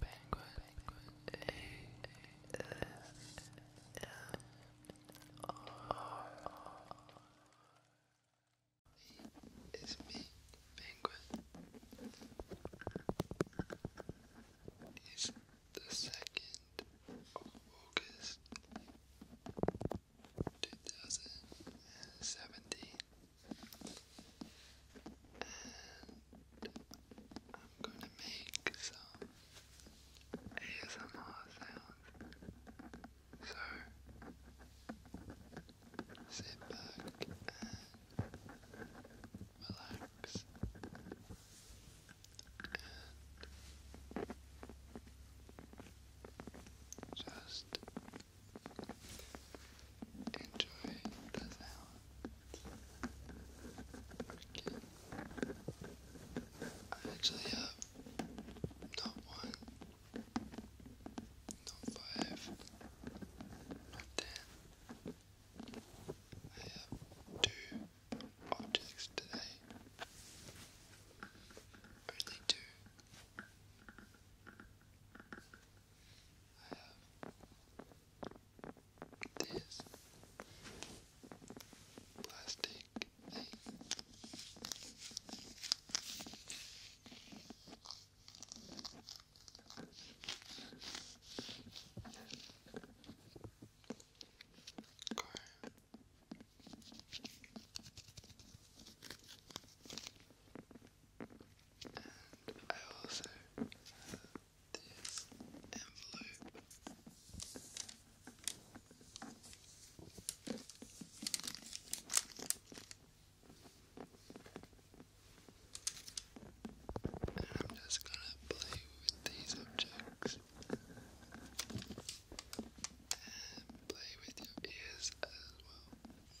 Penguin, Penguin It's me, Penguin. It's the second of August, two thousand and seventeen. I'm going to make some ASMR sounds. So sit back and relax. And just enjoy the I actually have not one, not five, not ten. I have two objects today. Only two. I have this plastic thing. Car. And I also have this envelope. And I'm just gonna play with these objects and play with your ears as well.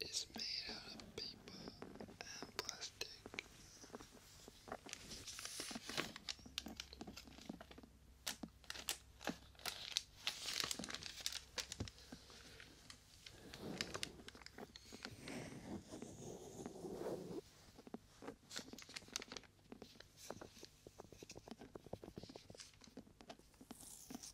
is made out of paper and plastic.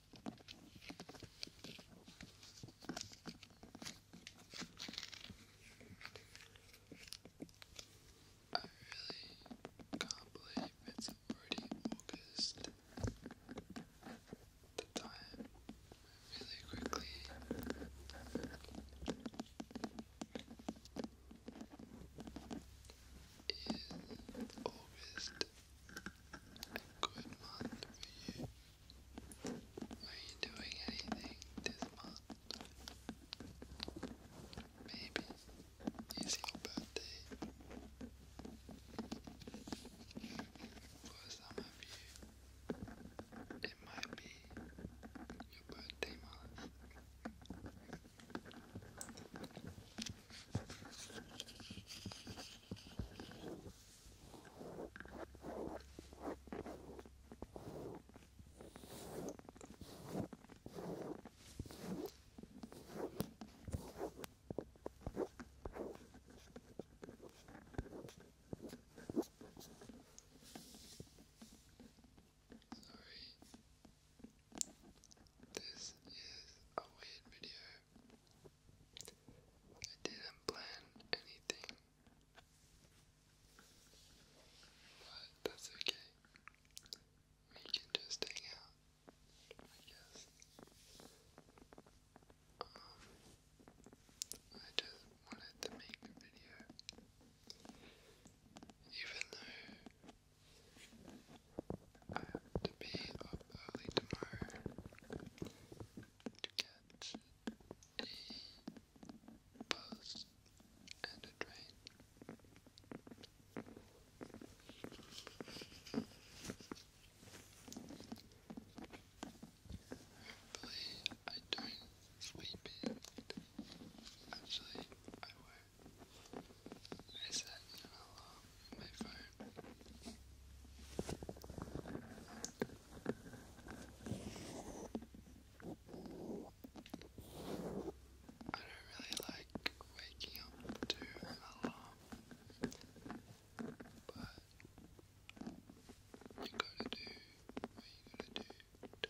I really can't believe it's already August. The time really quickly. Is August a good month for you? Are you doing anything this month? Maybe it's your birthday. For some of you, it might be your birthday month. Sorry. This is a weird video. I didn't plan anything, but that's okay. We can just hang out, I guess. Um, I just wanted to make a video, even though I have to be up early tomorrow to catch a bus and a train. Hopefully, I don't sleep in. Actually, I won't. I set an alarm my I don't really like waking up to an alarm, but you gotta do what you gotta do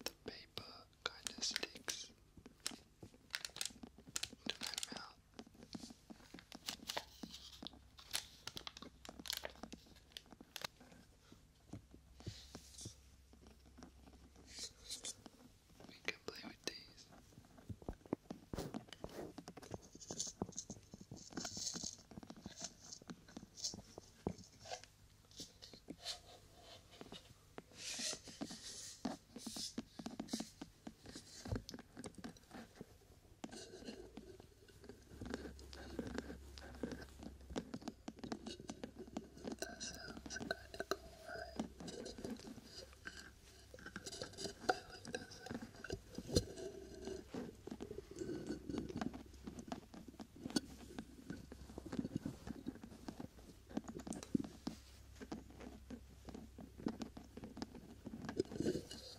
The paper kind of sticks to my mouth. We can play with these. That sounds kind of cool, right? I like that sound.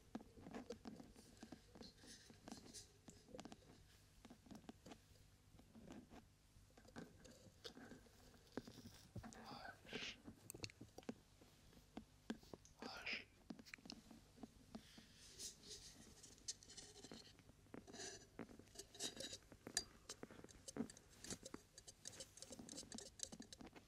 Hush. Hush.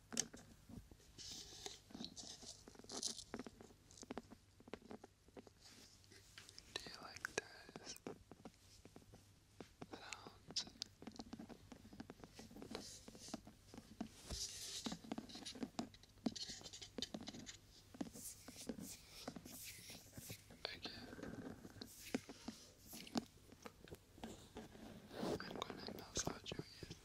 Do you like those sounds? Okay. I'm gonna massage your ears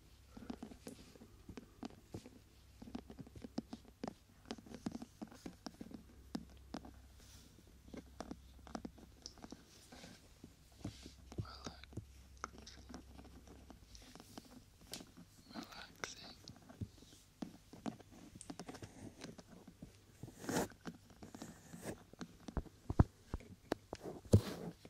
Relaxing. Relaxing.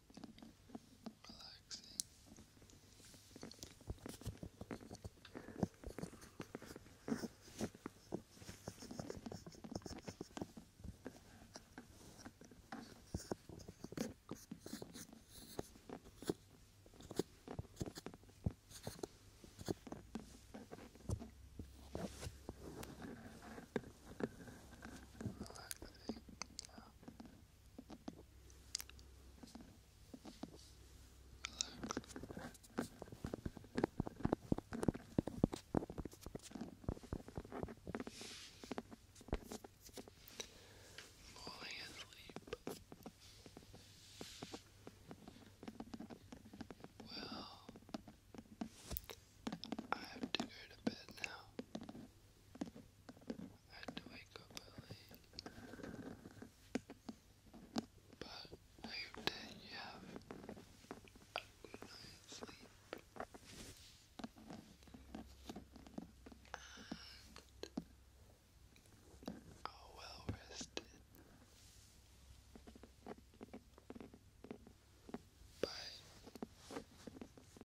relaxing. Relaxing. Yeah. Falling asleep. Well, I have to go to bed now. I had to wake up early. But I you have a good night's sleep. And are well rested. Bye.